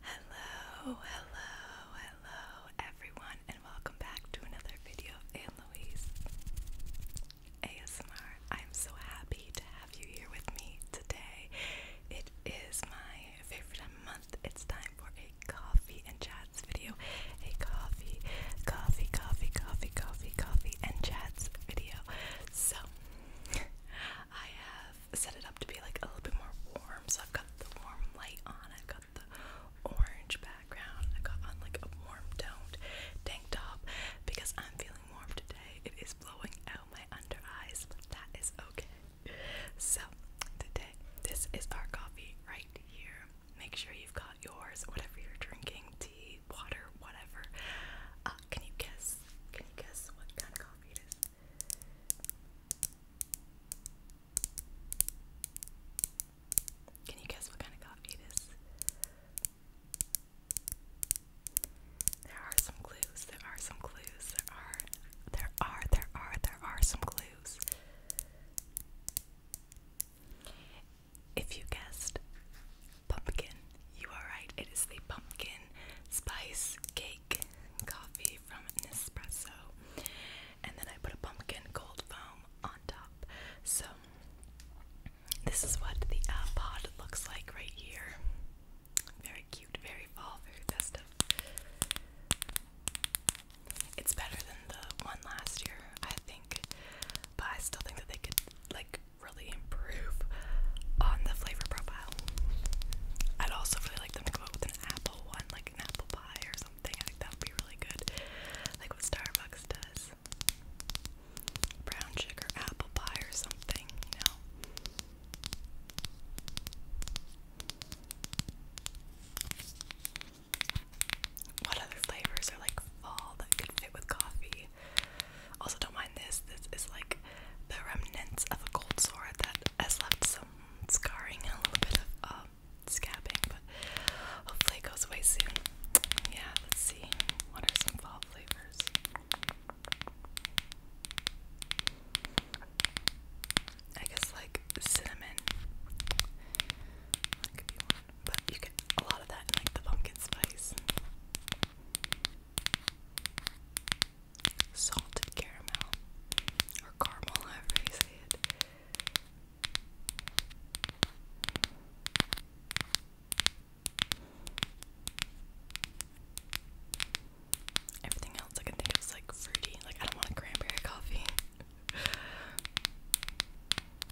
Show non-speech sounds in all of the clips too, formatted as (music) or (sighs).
Hello, hello, hello everyone, and welcome back to another video of Anne Louise ASMR. I'm so happy to have you here with me today. It is my favorite month. It's time for a coffee and chats video. A coffee, coffee, coffee, coffee, coffee, coffee, and chats video. So I have set it up to be like a little bit more warm. So I've got the warm light on. I've got the orange background. I got on like a warm toned tank top because I'm feeling warm today. It is blowing out my under eyes, but that is okay. So today, this is our coffee right here. Make sure you've got yours, whatever you're drinking, tea, water, whatever. Uh, can you guess? Can you guess what kind of coffee it is? Can you guess what kind of coffee it is? There are some clues. There are some clues. There are there are there are there are some clues. If you guessed pumpkin, you are right. It is the pumpkin spice cake coffee from Nespresso. And then I put a pumpkin cold foam on top. So this is what the iPod uh, looks like right here. Very cute, very fall, very festive. It's better than the one last year. I think but I still think that they could like really improve on the flavor profile. I'd also really like them to go with an apple one, like an apple pie or something. I think that would be really good. Like what Starbucks does. Brown sugar apple pie or something, you What other flavors are like fall that could fit with coffee? Also, don't mind this. This is like the remnants of a cold sore that has left some scarring and a little bit of um, scabbing, but hopefully it goes away soon. Yeah, let's see. What are some fall flavors? I guess like cinnamon but you get a lot of that like the pumpkin spice. Salted caramel or caramel, however you say it. Everything else I think it was like fruity. Like I don't want a cranberry coffee. (laughs)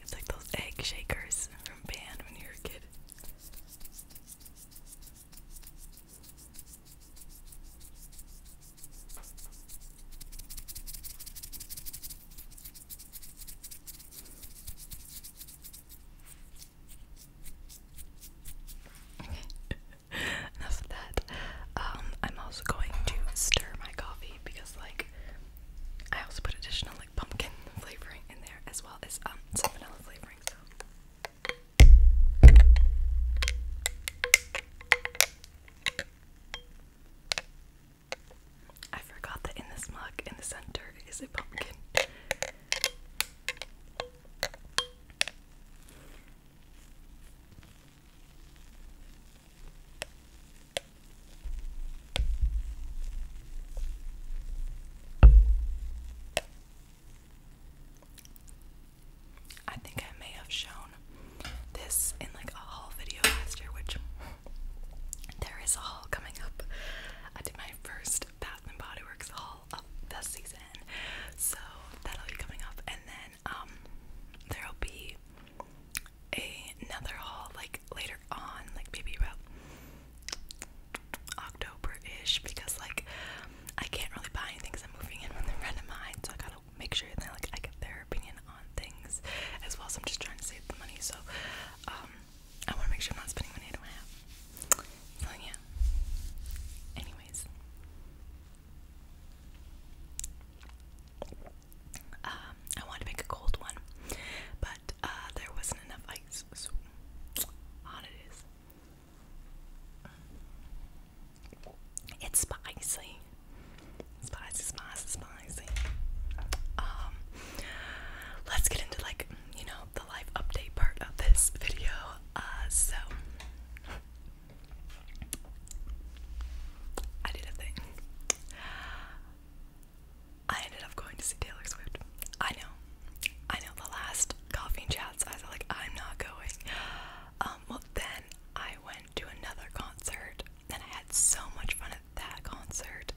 It's like those egg shakers from band when you were a kid. (laughs) Enough of that. Um, I'm also going to stir my coffee because, like, I also put additional like pumpkin flavoring in there as well as um some vanilla flavoring. So. I forgot that in this mug in the center is a pumpkin. I think I may have shown this in like a haul video last year, which there is a haul coming up. I did my first Bath and Body Works haul of the season, so that'll be coming up, and then um, there'll be another haul like later on, like maybe about October-ish, because like I can't really buy anything I'm moving in with a friend of mine, so I gotta make sure that like I get their opinion on things as well. So I'm just trying to save the money, so um, I want to make sure I'm not spending money I don't have. So yeah. Anyways. Um, I wanted to make a cold one, but uh, there wasn't enough ice, so on it is. It's spicy. Spicy, spicy, spicy. Um, let's get into like, you know, the life update part of this video. Uh, so I did a thing. I ended up going to see Taylor Swift. I know, I know. The last coffee and chats, I was like, I'm not going. Um, well, then I went to another concert, and I had so much fun at that concert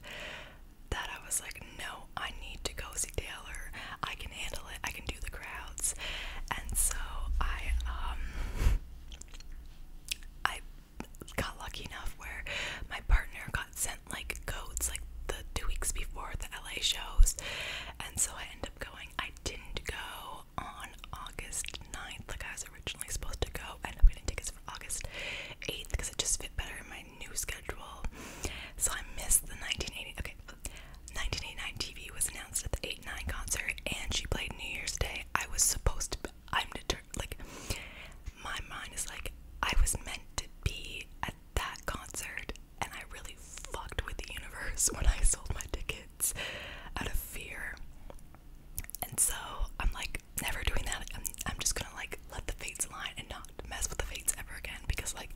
that I was like, no, I need to go see Taylor. I can handle it. I can do the crowds. And so I, um, I got lucky enough where my partner got sent like codes like the two weeks before the LA shows, and so I ended up going. I didn't go on August 9th like I was originally supposed to go. I ended up getting tickets for August 8th because it just fit better in my new schedule. So I missed the 1980. Okay, 1989 TV was announced at the 8 9 concert, and she played New Year's Day. I was supposed to. I'm determined. Like, my mind is like, I was meant to be at that concert, and I really fucked with the universe (laughs) when I sold my tickets out of fear. And so I'm like, never doing that. I'm, I'm just gonna like let the fates align and not mess with the fates ever again because, like,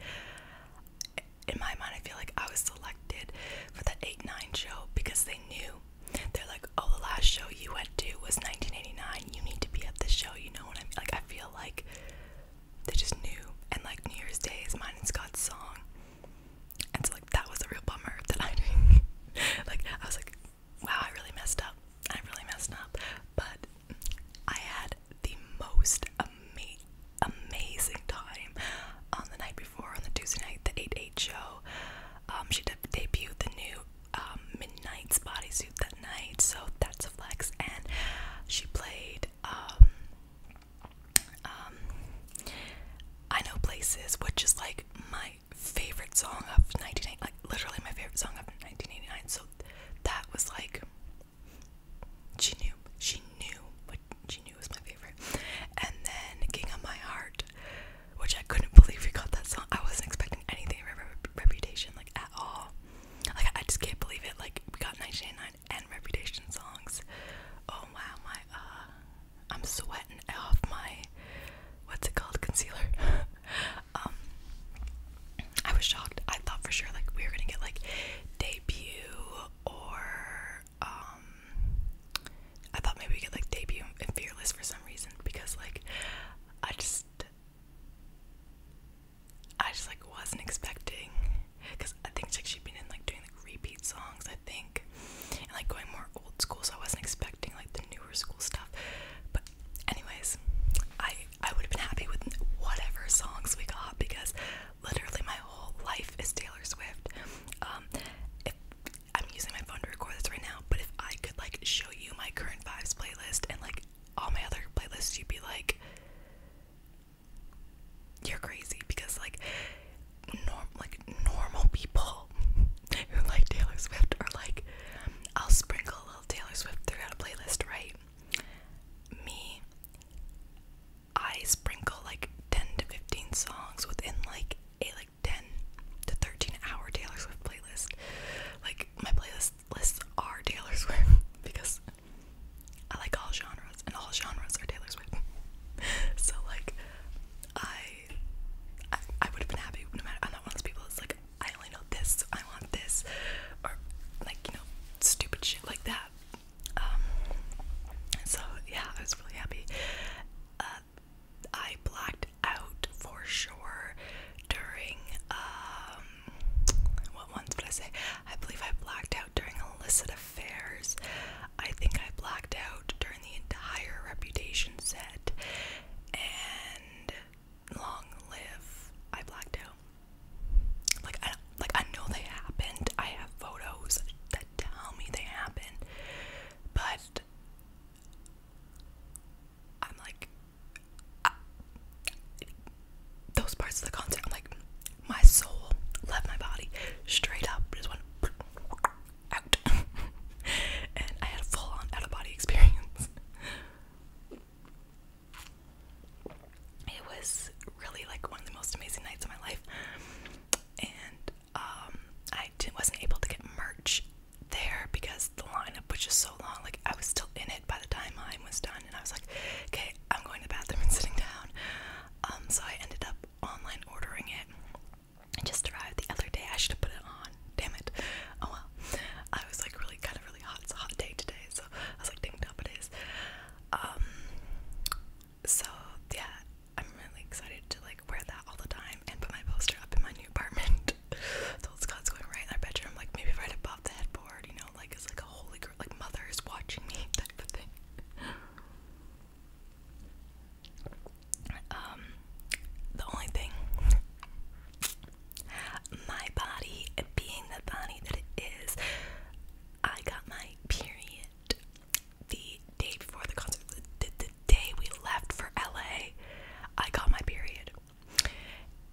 in my mind, I feel like I was selected for that 8 9 show because they knew they're like, oh, the last show you went to was 1989. You need to be at this show. You know what I mean? Like, I feel like they just knew. And like New Year's Day is mine and Scott's song. And so like that was a real bummer (laughs) that I did (laughs) like I was like, wow, I really messed up. I really messed up. But I had the most amazing amazing time on the night before on the Tuesday night the 8-8 show um she debuted the new um, Midnight's bodysuit that night, so that's a flex. And she played um, um, I Know Places, which is like my favorite song of 1989, like literally my favorite song of 1989. So that was like she knew, she knew what she knew was my favorite. And then King of My Heart, which I couldn't believe we got that song. I wasn't expecting anything re reputation like at all. Like I just can't believe it. Like we got 1989 and reputation songs. Oh wow, my uh, I'm sweating off my what's it called concealer. (laughs) Um, I was shocked. I thought for sure like we were gonna get like debut or um, I thought maybe we could like debut in Fearless for some reason because like I just I just like wasn't expecting because I think like she'd been in like doing like repeat songs I think and like going more old school so I wasn't expecting like the newer school stuff but anyways I I would have been happy with whatever songs we got because literally my whole life is Taylor Swift um, I'm using my phone to record this right now, but if I could like show you my current vibes playlist and like all my other playlists, you'd be like, you're crazy because like norm like normal people (laughs) who like Taylor Swift are like, I'll sprinkle a little Taylor Swift throughout a playlist, right? Me, I sprinkle like 10 to 15 songs within like a like. 10 to 13 hour Taylor Swift playlist. Like my playlist lists are Taylor Swift (laughs) because I like all genres and all genres are Taylor Swift. (laughs) so like I I, I would have been happy no matter I'm not one of those people that's like I only know this, so I want this or like, you know, stupid shit like that. Um so yeah, I was really happy uh, I blacked out for sure during um what once did I say? I believe I blacked out during illicit affairs. I think I blacked out during the entire reputation set and long live I blacked out. Like I like I know they happened. I have photos that tell me they happened. But I'm like, I, those parts of the concert, I'm like, my soul left my body straight up, just went out, (laughs) and I had a full-on out-of-body experience. It was really like one of the most amazing nights of my life, and um, I wasn't able to get merch there because the lineup was just so long. Like I was still in it by the time mine was done, and I was like, "Okay, I'm going to bathroom and (laughs) sitting down." Um, so I ended up online ordering it. It just arrived the other day. I should have put it on. Damn it. Oh well. I was like really kind of really hot. It's a hot day today, so I was like, "Ding up it is." Um, so yeah, I'm really excited to like wear that all the time and put my poster up in my new apartment. (laughs) so it's God's going right in our bedroom, like maybe right above the headboard, you know, like it's like a holy girl, like mother is watching me (laughs) type of thing. Um, the only thing, my body being the body that it is, I got my period the day before the concert, day we left for LA, I got my period.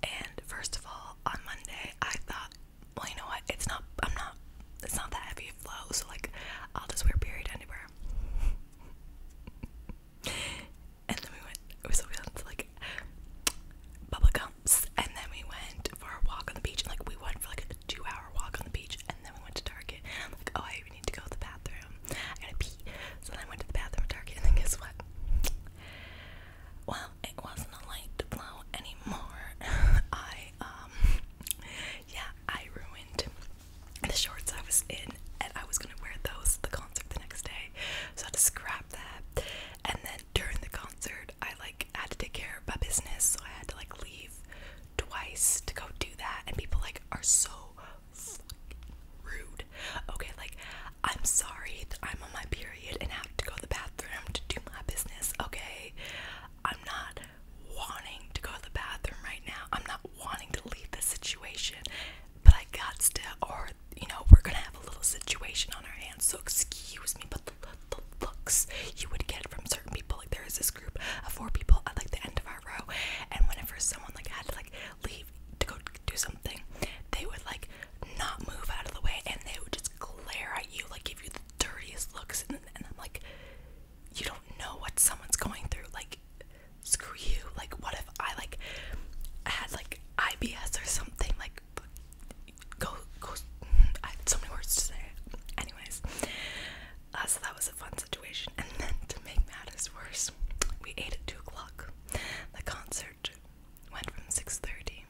And first of all, on Monday, I thought, well, you know what? It's not, I'm not, it's not that heavy a flow, so like, I'll just wear period underwear. (laughs) and then we went, we went to like bubble gumps, and then we went for a walk on the beach. And like, we went for like a two hour walk on the beach, and then we went to Target. And like, oh, I we need to go to the bathroom. I gotta pee. So then I went to the bathroom at Target, and then guess what? Well, it wasn't a light to blow anymore. (laughs) I, um, yeah, I ruined the shorts I was in, and I was gonna wear those the concert the next day. So I had to scrap that. And then during the concert, I like had to take care of my business, so I had to like leave twice to go do that. And people like are so rude. Okay, like I'm sorry that I'm on my period and have to go to the bathroom to do my business. Okay, I'm not wanting to go to the bathroom right now. I'm not wanting to leave the situation, but I got to, or you know, we're gonna have a little situation on our hands. So excuse me, but the, the looks you would get from certain people, like there is this group of four people at like the end of our row, and whenever someone like had like leave to go do something, they would like not move out of the way and they would just glare at you, like give you the dirtiest looks. And, and I'm like, you don't know what someone's going through. Like, screw you. Like, what if I like had like IBS or something? Like, go go. I had so many words to say. Anyways, uh, so that was a fun situation. And then to make matters worse, we ate at two o'clock. The concert went from six thirty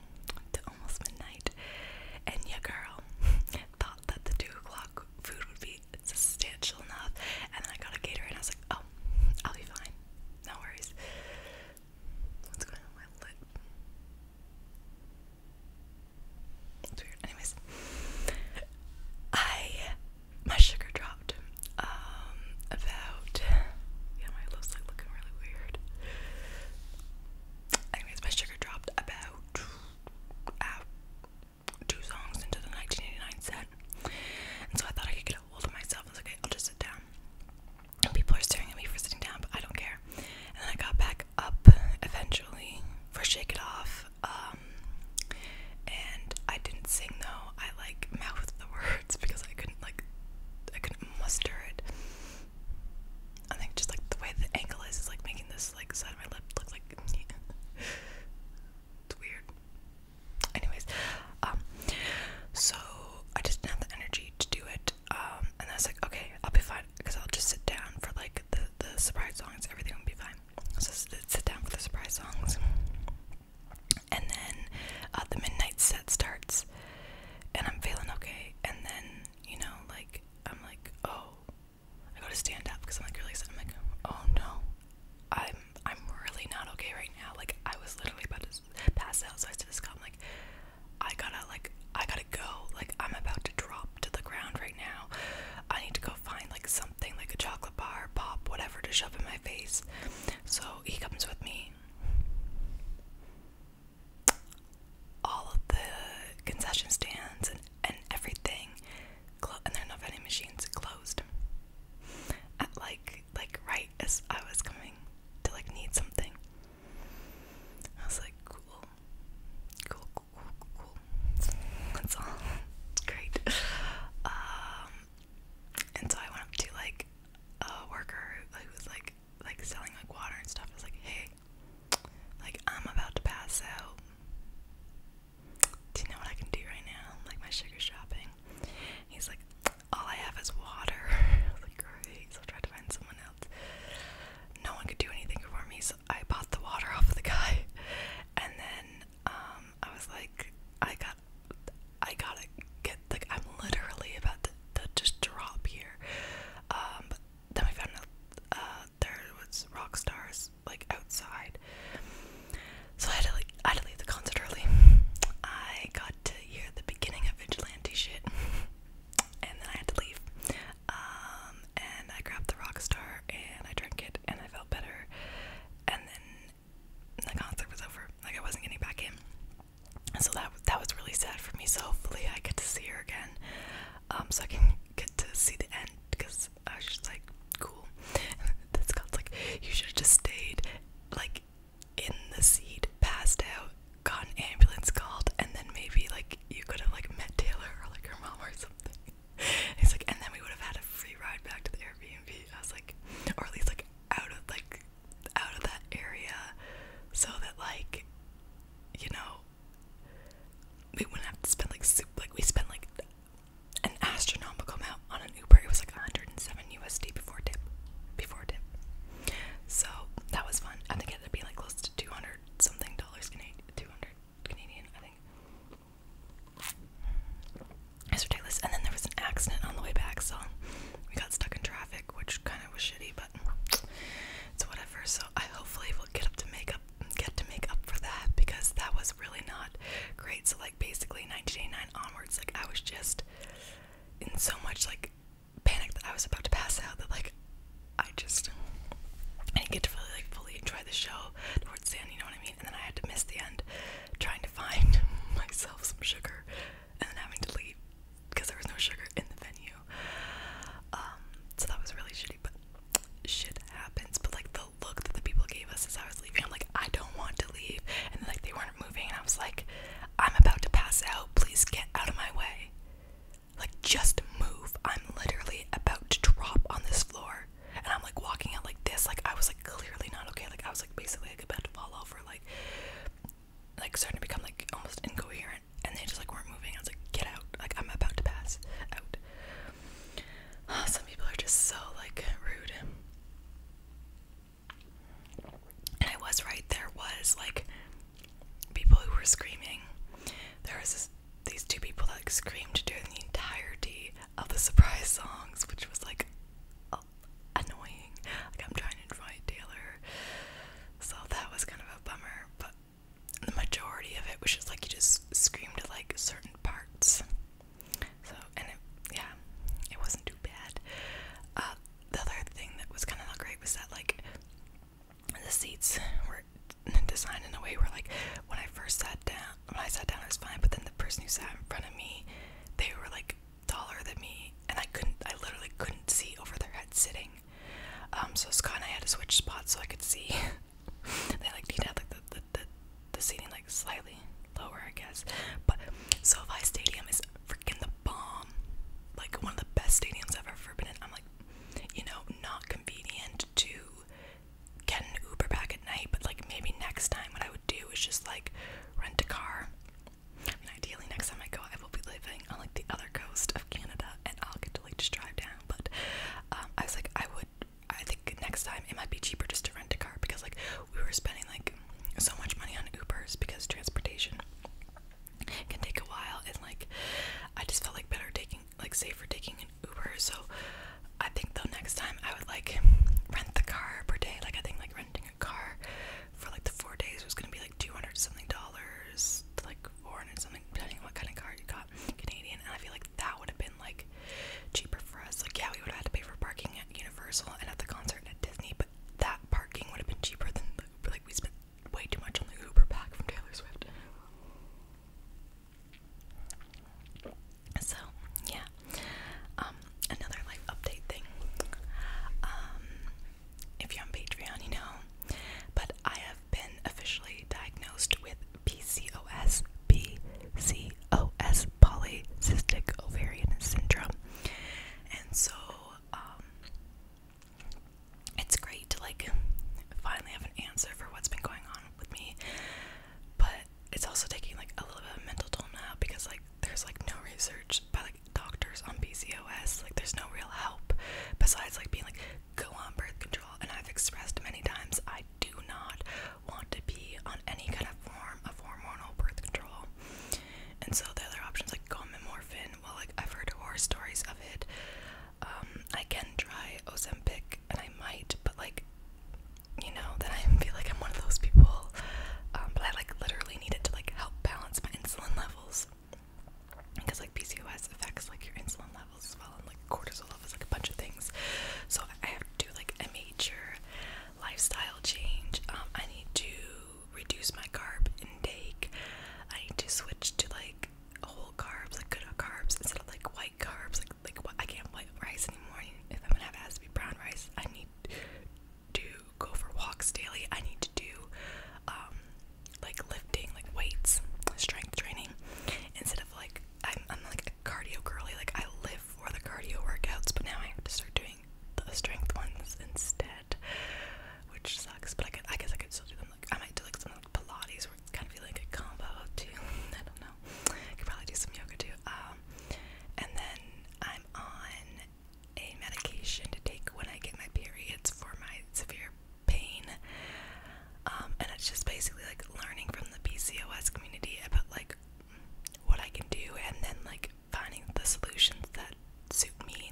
to almost midnight, and yeah, girl (laughs) thought that the two o'clock food would be substantial enough. And then I got a gator, and I was like, "Oh, I'll be fine. No worries." What's going on with my lip? It's weird. Anyways, I my sugar dropped. Um, about yeah, my lips like looking really weird. Anyways, my sugar dropped about uh, two songs into the 1989 set, and so I thought I could get a hold of myself. okay, I'll just sit down. And people are staring at me for sitting down, but I don't care. And then I got back up eventually for Shake It Off. Um, and I didn't sing though. I like (laughs) mouth the words because I couldn't like I couldn't muster it. I think just like the way the angle is is like making this like side of my lip look like (laughs) it's weird. Anyways, um, so I just didn't have the energy to do it. Um, and I was like, okay, I'll be fine because I'll just sit down for like the the surprise songs. Everything will be fine. So sit down for the surprise songs. And then uh, the midnight set starts, and I'm feeling okay. And then, you know, like, I'm like, oh, I got to stand up because I'm like really excited. I'm like, oh no, I'm I'm really not okay right now. Like, I was literally about to pass out. So I said to Scott, I'm like, I gotta, like, I gotta go. Like, I'm about to drop to the ground right now. I need to go find, like, some something like a chocolate bar, pop, whatever to shove in my face. So he comes with me. All of the concession stands and, and everything, and there not vending machines closed. At like like right as I was coming to like need something, I was like cool, cool, cool, cool, cool. That's all. great. Um, and so I went up to like a worker who was like like selling like water and stuff. I was like, hey, like I'm about to pass out. Do you know what I can do right now? Like my sugar shopping. He's like, all I have is water. (laughs) I was like, great. So I tried to find someone else. No one could do anything for me, so I bought the water off of the guy. And then um, I was like, I got, I gotta get, like, I'm literally about to, just drop here, um, but then I found out, uh, there was rock stars, like, outside, so I had to, like, I had to leave the concert early, I got to hear the beginning of Vigilante shit, and then I had to leave, um, and I grabbed the rock star, and I drank it, and I felt better, and then the concert was over. Like I wasn't getting back in. So that that was really sad for me. So hopefully I get to see her again, um, so I can get to see the end. Because I was just like, cool. this God's like, you should have just stayed, like, in the seat, passed out, got an ambulance called, and then maybe like you could have like met Taylor or like her mom or something. (laughs) He's like, and then we would have had a free ride back to the Airbnb. I was like, or at least like out of like out of that area, so that like, you know, we wouldn't have to spend like Like we spent like an astronomical amount on an Uber. It was like 107 USD before tip, before tip. So that was fun. I think it ended up being like close to 200 something dollars Canadian, 200 Canadian, I think. It's ridiculous. And then there was an accident on the way back, so we got stuck in traffic, which kind of was shitty, but it's whatever. So I hopefully will get up to make up, get to make up for that because that was really not great. So like basically 1989 onwards, like I was just in so much like panic that I was about to pass out that like I just I didn't get to really like fully enjoy the show (laughs) towards the you know what I mean? And then I had to miss the end trying to find (laughs) myself some sugar and then having to leave because there was no sugar in the venue. Um, so that was really shitty, but shit happens. But like the look that the people gave us as I was leaving, I'm like, I don't want to leave. And like they weren't moving, and I was like, I'm about to pass out. Please get out of my way. Like, just move. I'm literally about to drop on this floor and i'm like walking out like this like i was like clearly not okay like i was like basically like about to fall over like like starting to become like almost incoherent and they just like weren't moving i was like get out like i'm about to pass out oh, (sighs) some people are just so like rude and i was right there was like people who were screaming there was this these two people that like screamed during the entirety of the surprise songs, which was like annoying. Like I'm trying to invite Taylor, so that was kind of a bummer. But the majority of it was just like you just screamed at like certain parts. So and it, yeah, it wasn't too bad. Uh, the other thing that was kind of not great was that like the seats were designed in a way where like when I first sat down when I sat down, it was fine. But then the person who sat in front of me, they were like taller than me, and I couldn't. I literally couldn't see over their head sitting. Um, so Scott and I had to switch spots so I could see. (laughs) they like need to have like the the, the the seating like slightly lower, I guess. But SoFi Stadium is freaking the bomb. Like one of the best stadiums I've ever been in. I'm like, you know, not convenient to get an Uber back at night, but like maybe next time what I would do is just like rent a car. I mean, ideally, next time I go, I will be living on like the other coast of Canada, and I'll get to like just drive down. But um, I was like, I would. I think next time it might be cheaper just to rent a car because like we were spending like so much money on Ubers because transportation can take a while, and like I just felt like better taking like say for taking an Uber. So I think the next time I would like rent the car per day. Like I think like renting a car for like the four days was gonna be like two hundred something dollars to like four hundred something depending on what kind of car you got Canadian. And I feel like that would have been like cheaper for us. Like yeah, we would have had to pay for parking at Universal and at the concert at Disney, but that parking would have been cheaper than the Uber. Like we spent way too much on the Uber back from Taylor Swift. So yeah, um, another life update thing. Um, if you're on Patreon, you know, but I have been officially diagnosed with PCOS, PCOS, polycystic ovarian syndrome, and so um, it's great to like finally have an answer for what's been going on with me. But it's also taking like a little bit of mental toll now because like there's like no research by like doctors on PCOS. Like there's no real help besides like being like go on birth control. And I've expressed many times I do not want to be on any kind of form of hormonal birth control. And so the other options like go on Memorphin. Well, like I've heard horror stories of it. Um, I can try Ozempic and I might, but like, you know, then I feel like I'm one of those people. Um, but I like literally needed to like help balance my insulin levels because like PCOS affects like your insulin levels as well, and like cortisol levels, like a bunch of things. So I have to do like a major lifestyle change. Um, I need to reduce my carb intake. I need to switch to like whole carbs, like good carbs instead of like white carbs, like like I can't play rice anymore. If I'm gonna have it brown rice, I need to go for walks daily. I need to do um, like lifting, like weights, strength training instead of like I'm i like a cardio girly. Like I live for the cardio workouts, but now I have to start doing the strength ones instead, which sucks. But I could I guess I could still do them. Like I might do like some Pilates would kind of be like a combo too. (laughs) I don't know. I could probably do some yoga too. Um, and then I'm on a medication to take when I get my periods for my severe pain. Um, and it's just basically like learning from the PCOS community about like what I can do and then like finding the solutions that suit me.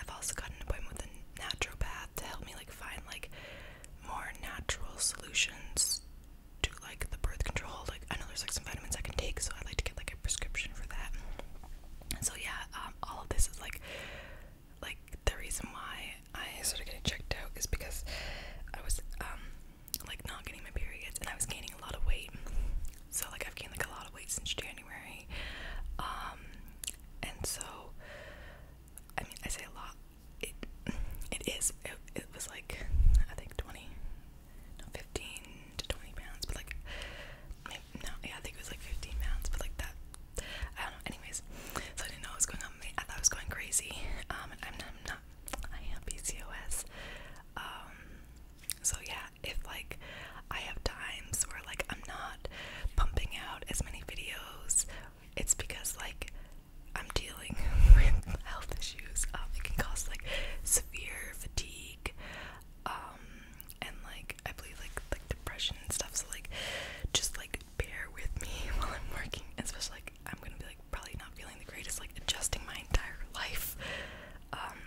I've also gotten a appointment with a naturopath to help me like find like more natural solutions to like the birth control. Like I know there's like some vitamins I can take, so I'd like to get like a prescription for that. And so yeah, um, all of this is like like the reason why I started getting checked out is because I was um like not getting my periods and I was gaining a lot of weight. So like I've gained like a lot of weight since January. Um and so I mean I say a lot it it is it, was like I think 20 15 to 20 pounds but like no yeah I think it was like 15 pounds but like that I don't know anyways so I didn't know what was going on I thought I was going crazy um I'm not, I'm not I PCOS um so yeah if like I have times where like I'm not pumping out as many videos it's because like I'm dealing (laughs) with health issues. Um, it can cause like severe fatigue, um, and like I believe like like depression and stuff. So like, just like bear with me (laughs) while I'm working, especially like I'm gonna be like probably not feeling the greatest, like adjusting my entire life. Um,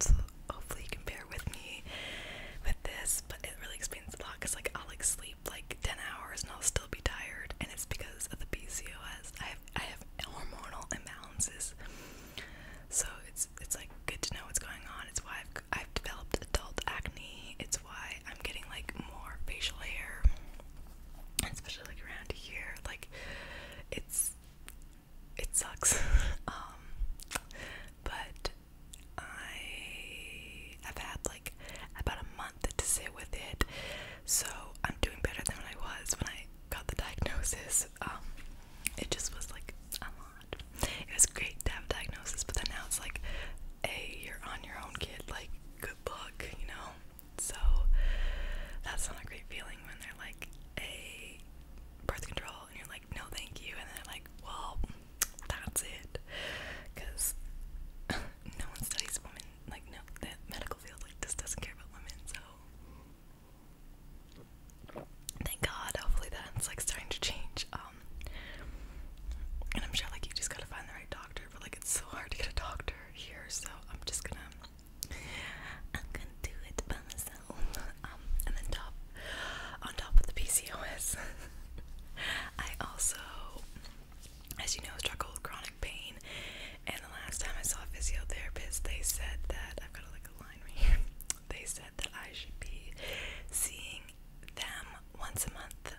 so hopefully you can bear with me with this, but it really explains a lot because like I'll like sleep like 10 hours and I'll still be tired it's because of the PCOS. I have I have hormonal imbalances, so it's it's like good to know what's going on. It's why I've developed adult acne. It's why I'm getting like more facial hair, especially like around here. Like it's it sucks, (laughs) um, but I have had like about a month to sit with it. So I'm doing better than I was when I got the diagnosis. Um, it just was like a lot. It was great to have a diagnosis, but then now it's like, a you're on your own, kid. Like, good luck, you know. So that's not a great feeling when they're like, a birth control, and you're like, no, thank you, and they're like, well, that's it, because (laughs) no one studies women like no, the medical field like just doesn't care about women. So thank God. Hopefully that's like starting to change. Um, and I'm sure like you just gotta find the right doctor, but like it's so hard to get a doctor here. So I'm just gonna, I'm gonna do it by myself. Um, and then top on top of the PCOS, (laughs) I also as you know, struggle with chronic pain. And the last time I saw a physiotherapist, they said that I've got like a line (laughs) They said that I should be seeing them once a month,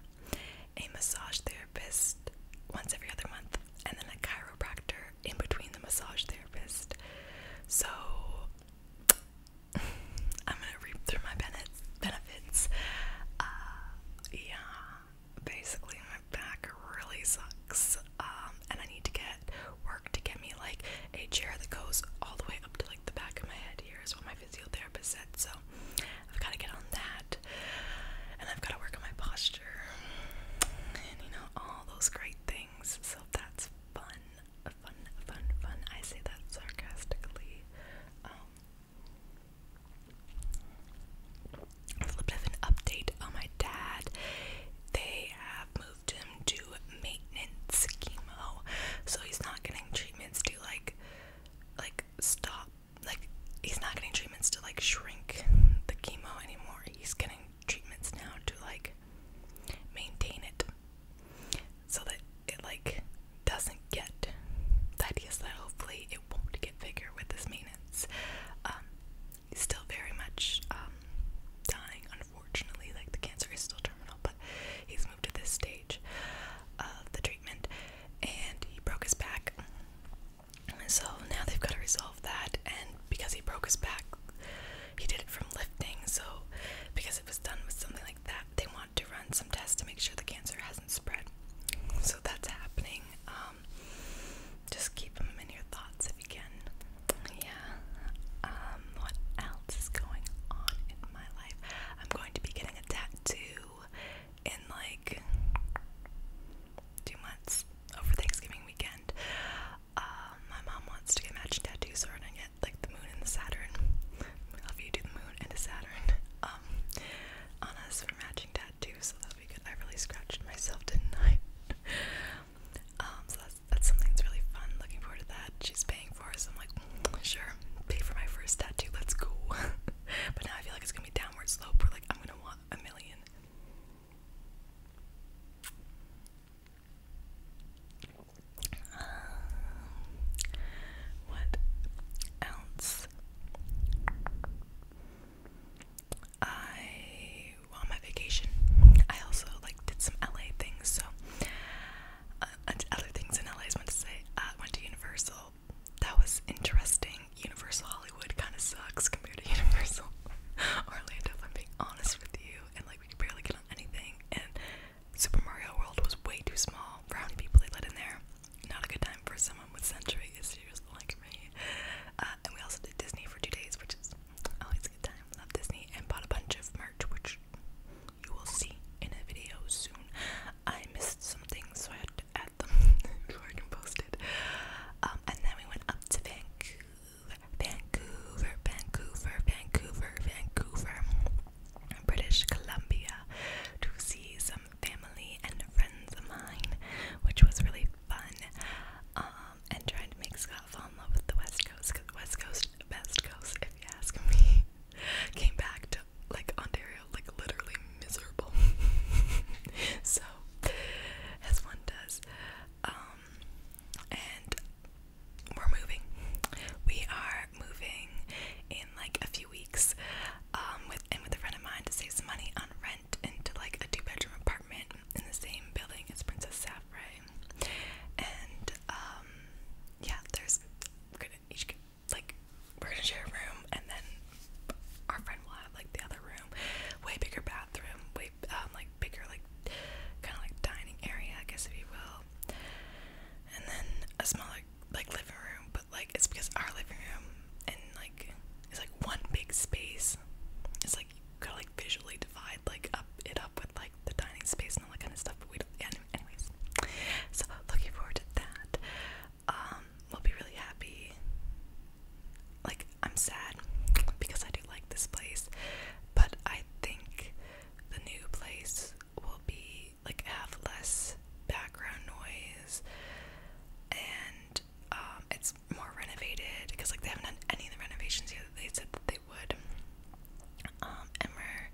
a massage therapist once every other month, and then a chiropractor in between the massage therapist. So (laughs) I'm gonna reap through my benefits. Uh, yeah, basically my back really sucks. Um, and I need to get work to get me like a chair that goes all the way up to like the back of my head. Here is what my physiotherapist said. So I've got to get on that, and I've got to work on my posture, and you know all those great things. So that's fun, fun, fun, fun. I say that sarcastically. Um, a little bit an update on my dad. They have moved him to maintenance chemo, so he's not getting treatments to like, like stop, like he's not getting treatments to like shrink the chemo anymore. He's getting treatments now to like maintain it, so that it like doesn't get. The idea is that hopefully it won't get bigger with this maintenance. Um, still very much um, dying, unfortunately. Like the cancer is still terminal, but he's moved to this stage of the treatment, and he broke his back. So now they've got to resolve that, and because he broke his back, he did it from lifting. So because it was done with something like that, they want to run some tests to make sure the cancer has not spread. So that's happening. Um, just keep them in your thoughts if you can. Yeah. Um, what else is going on in my life? I'm going to be getting a tattoo in like two months over Thanksgiving weekend. Um, my mom wants to get matching tattoos, so I'm gonna get like the moon and the Saturn. I love you do the moon and a Saturn um, for matching tattoos, so that'll be good. I really scratched myself, didn't I? (laughs) Um, so that's something that's really fun. Looking forward to that. She's paying for us. I'm like, mm, sure, pay for my first tattoo. Let's go. (laughs) but now I feel like it's gonna be downward slope. We're like, I'm gonna want a million. Um, what else? I well, on my vacation. I also like did some LA things. So uh, other things in LA. I went to uh, went to Universal. That was interesting. Universal Hollywood kind of sucks compared to (laughs) Universal Orlando. If I'm being honest with you, and like we could barely get on anything. And Super Mario World was way too small for how many people they let in there not a good time for someone with sensory issues like me. Uh, and we also did Disney for two days, which is always a good time. Love Disney and bought a bunch of merch, which you will see in a video soon. I missed some things, so I had to add them before I can post it. Um, and then we went up to Vancouver, Vancouver, Vancouver, Vancouver, Vancouver, British Columbia to see some family and friends of mine, which was really fun. Um, and trying to make Scott fall in love with the West Coast, cause West Coast, Best Coast, if you ask me, (laughs) came back to like Ontario, like literally miserable. (laughs) so, as one does, um, and we're moving. We are moving in in like a few weeks um, with and with a friend of mine to save some money on rent into like a two bedroom apartment in the same building as Princess Saffrey. And um, yeah, there's we're gonna each get, like we're gonna share a room, and then our friend will have like the other room, way bigger bathroom, way um, like bigger like kind of like dining area, I guess if you will. And then a smaller like living room, but like it's because our living room and like it's like one big space. It's like you gotta like visually divide like up it up with like the dining space and all that kind of stuff. But we don't. Yeah, anyways, so looking forward to that. Um, we'll be really happy. Like I'm sad because I do like this place, but I think the new place will be like have less background noise and um, it's more renovated because like they haven't done any of the renovations yet that they said that they would um, and we're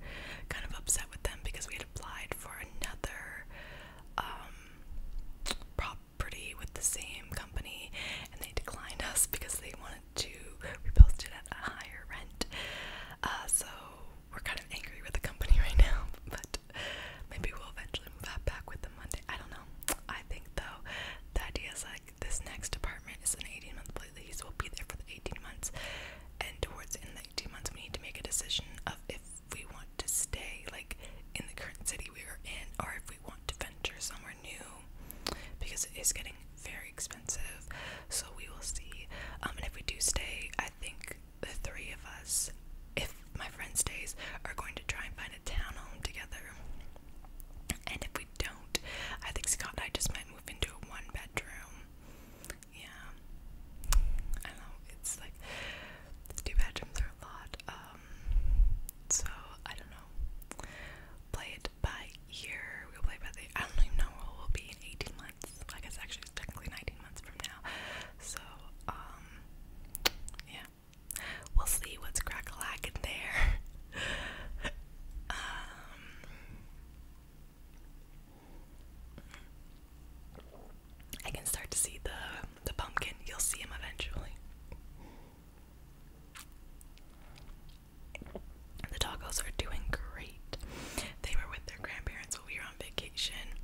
kind of upset with them because we had applied for another um, property with the same company and they declined us because they wanted to repost it at a higher rent uh, so we're kind of angry with the company (laughs) right now but Maybe we'll eventually move that back with the Monday. I don't know. I think though, the idea is like this next apartment is an 18 month lease. We'll be there for the 18 months, and towards the end of the 18 months, we need to make a decision of if we want to stay like in the current city we are in, or if we want to venture somewhere new, because it is getting very expensive. So we will see. Um, and if we do stay, I think the three of us, if my friend stays, are going to try and find a townhome together. And if we don't, I think Scott and I just might move into a one bedroom. Yeah. I know, it's like two bedrooms are a lot. Um, so I don't know. Play it by year. We'll play by the I don't even know where will be in eighteen months. I guess actually it's technically nineteen months from now. So, um, yeah. We'll see what's crack there. (laughs) Um, I can start to see the the pumpkin. You'll see him eventually. The tacos are doing great. They were with their grandparents when we vacation,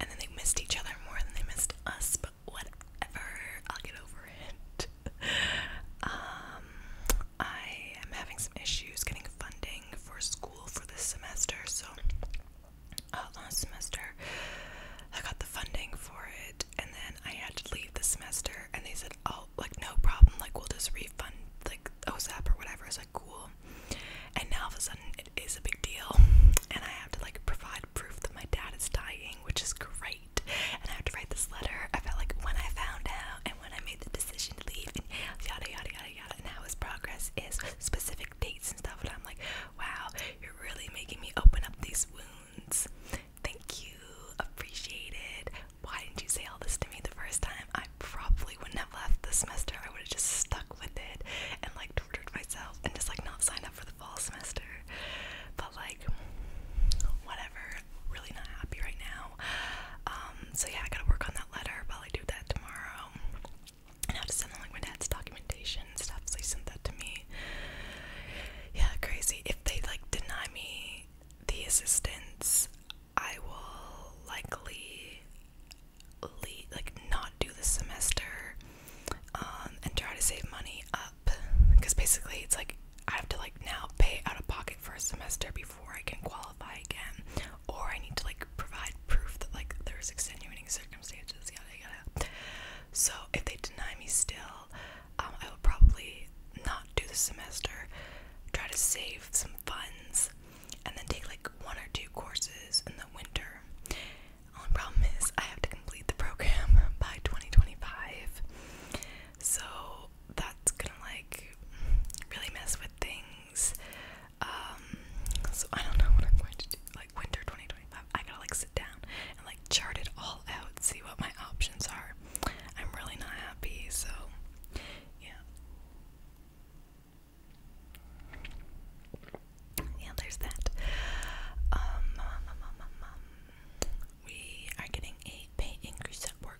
and then they missed each other more than they missed us. But whatever, I'll get over it. (laughs) um, I am having some issues getting funding for school for this semester, so. Uh, last semester, I got the funding for it, and then I had to leave the semester, and they said, "Oh, like no problem, like we'll just refund like OSAP or whatever." I was like, "Cool." And now all of a sudden it is a big deal. And I have to like provide proof that my dad is dying, which is great. And I have to write this letter I felt like when I found out and when I made the decision to leave and yada yada yada yada and how his progress is specific dates and stuff and I'm like, wow, you're really making me open up these wounds. Thank you. Appreciate it. Why didn't you say all this to me the first time? I I probably wouldn't have left the semester. I would have just stuck with it and like tortured myself and just like not signed up for the fall semester. But like, whatever. Really not happy right now. Um, so yeah, I gotta work on that letter. Probably do that tomorrow. And I have to send them like my dad's documentation stuff. So he sent that to me. Yeah, crazy. If they like deny me the assistance, I will likely leave, like not do the semester um, and try to save money up because basically it's like I have to like now pay out of pocket for a semester before I can qualify again, or I need to like provide proof that like there's extenuating circumstances, yada yada. So if they deny me still, um, I will probably not do the semester, try to save some funds and then take like one or two courses in the winter. Only problem is I have to complete the program (laughs) by 2025. So that's gonna like really mess with things. Um, so I don't know what I'm going to do. Like winter 2025. I gotta like sit down and like chart it all out, see what my options are. I'm really not happy, so yeah. Yeah, there's that. Um, um, um, we are getting a pay increase at work.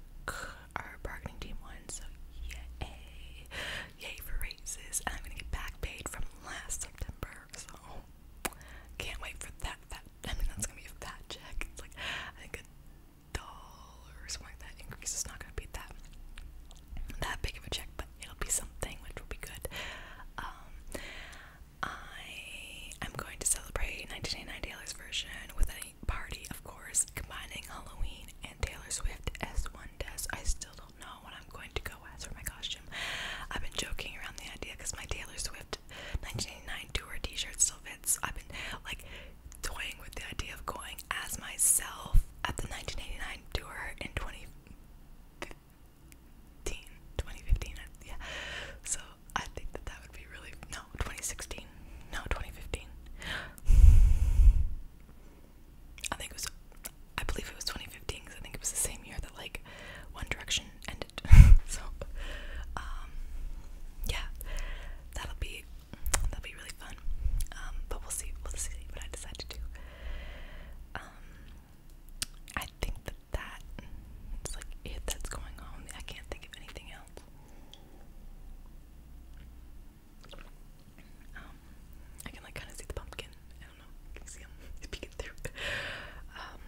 Our bargaining team won, so yay! Yay for raises! And I'm gonna get back paid from last September, so can't wait for that. Fat, I mean, that's gonna be a fat check. It's like a dollar or like that increase is not gonna beat that that big of a check, but it'll be something which will be good. Um, I am going to celebrate 1989 Taylor's version with a party, of course, combining Halloween and Taylor Swift as one does. I still don't know what I'm going to go as for my costume. I've been joking around the idea because my Taylor Swift 1989 tour T-shirt still fits. I've been like toying with the idea of going as myself at the 1989 signed in 2015, yeah. So I think that that would be really no 2016, no 2015. I think it was, I believe it was 2015 because I think it was the same year that like One Direction ended. (laughs) so, um, yeah, that'll be that'll be really fun. Um, but we'll see. We'll see what I decide to do. Um, I think that that like it that's going on. I can't think of anything else. Um, I can like kind of see the pumpkin. I don't know. You can see him (laughs) Um,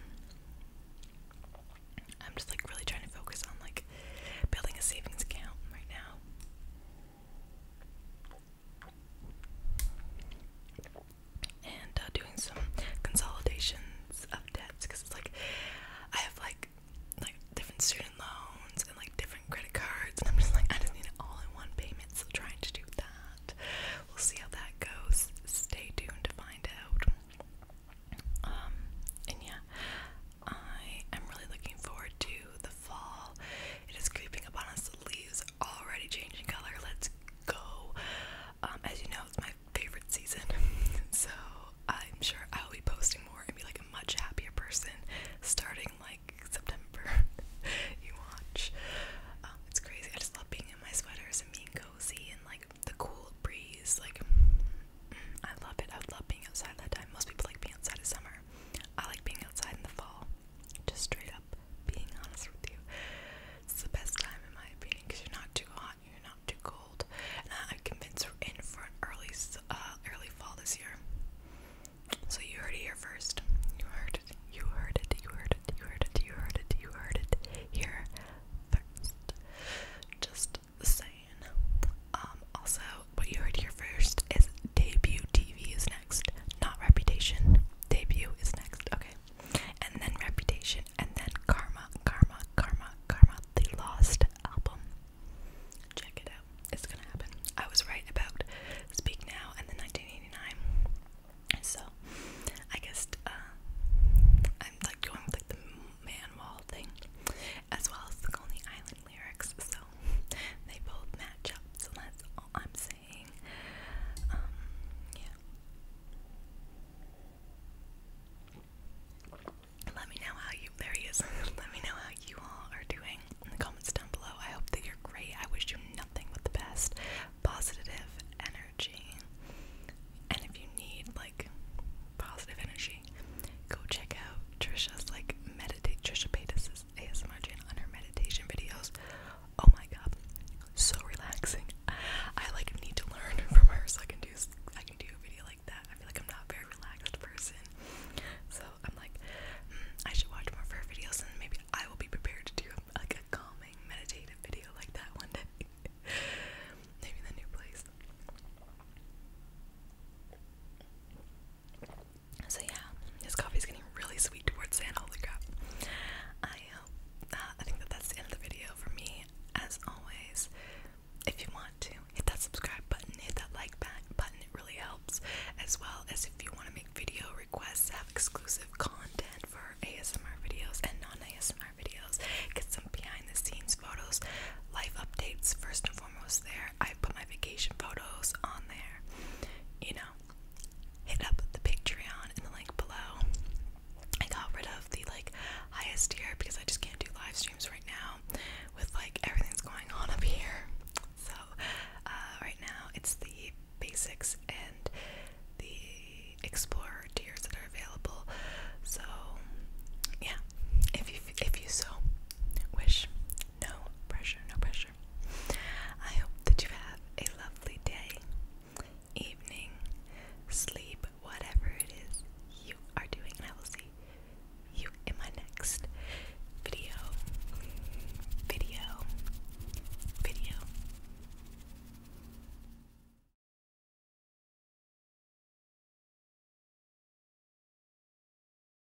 I'm just like really trying to focus on like building a savings account right now and uh, doing some consolidations of debts because it's like I have like like different student loans and like different credit cards and I'm just like I just need it all in one payment so trying to do that we'll see how that goes stay tuned to find out um, and yeah I am really looking forward to the fall. It is creeping upon us. The leaves already changing color. Let's go. Um, as you know, it's my favorite season. (laughs) so I'm sure I'll be posting more and be like a much happier person starting like September. (laughs) you watch. Um, it's crazy. I just love being in my sweaters and being cozy and like the cool breeze. Like, mm, I love it. I love being outside that time. Most people like being outside in summer. I like being outside in the fall. Just straight up being honest with you. It's the best time in my opinion because you're not too hot, you're not too cold. I, I convinced in for early, uh, early fall this year. So you heard it here first. You heard it. You heard it. You heard it. You heard it. You heard it. You heard it here first. Just saying. Um. Also, what you heard here first is debut TV is next, not reputation. Debut is next, okay? And then reputation, and then karma, karma, karma, karma, the lost album. Check it out, it's gonna happen. I was right about Speak Now and then 1989. So, I guess uh, I'm like going with like the man wall thing, as well as the Coney Island lyrics, so (laughs) they both match up. So that's all I'm saying. Um, yeah. Let me know how you. There he is. (laughs) Let me know how you all are doing in the comments down below. I hope that you're great. I wish you nothing but the best, positive energy. And if you need like positive energy, go check out Trisha's like meditate Trisha Paytas' ASMR channel and her meditation videos. Oh my god, so relaxing. I like need to learn (laughs) from her so I can do I can do a video like that. I feel like I'm not very relaxed person, so I'm like hmm, I should watch more of her videos and maybe I will be prepared to do like a calming meditative video like that one day. (laughs) maybe in the new place. So yeah, this coffee's getting really sweet towards the end. Holy crap! I um, hope. Uh, I think that that's the end of the video for me. As always, if you want to hit that subscribe button, hit that like button. It really helps. As well as if you want to make video requests, have exclusive content for ASMR videos and non-ASMR videos, get some behind-the-scenes photos, life updates first and foremost almost there. I put my vacation photos on there. You know, hit up the Patreon in the link below. I got rid of the like highest tier because I just can't do live streams right now with like everything's going on up here. So, uh, right now it's the basics and the explorer tiers that are available. So, yeah, if you if you so wish, no pressure, no pressure. I hope that you have a lovely day, evening, sleep, whatever it is you are doing, and I will see you in my next video. Video. Video.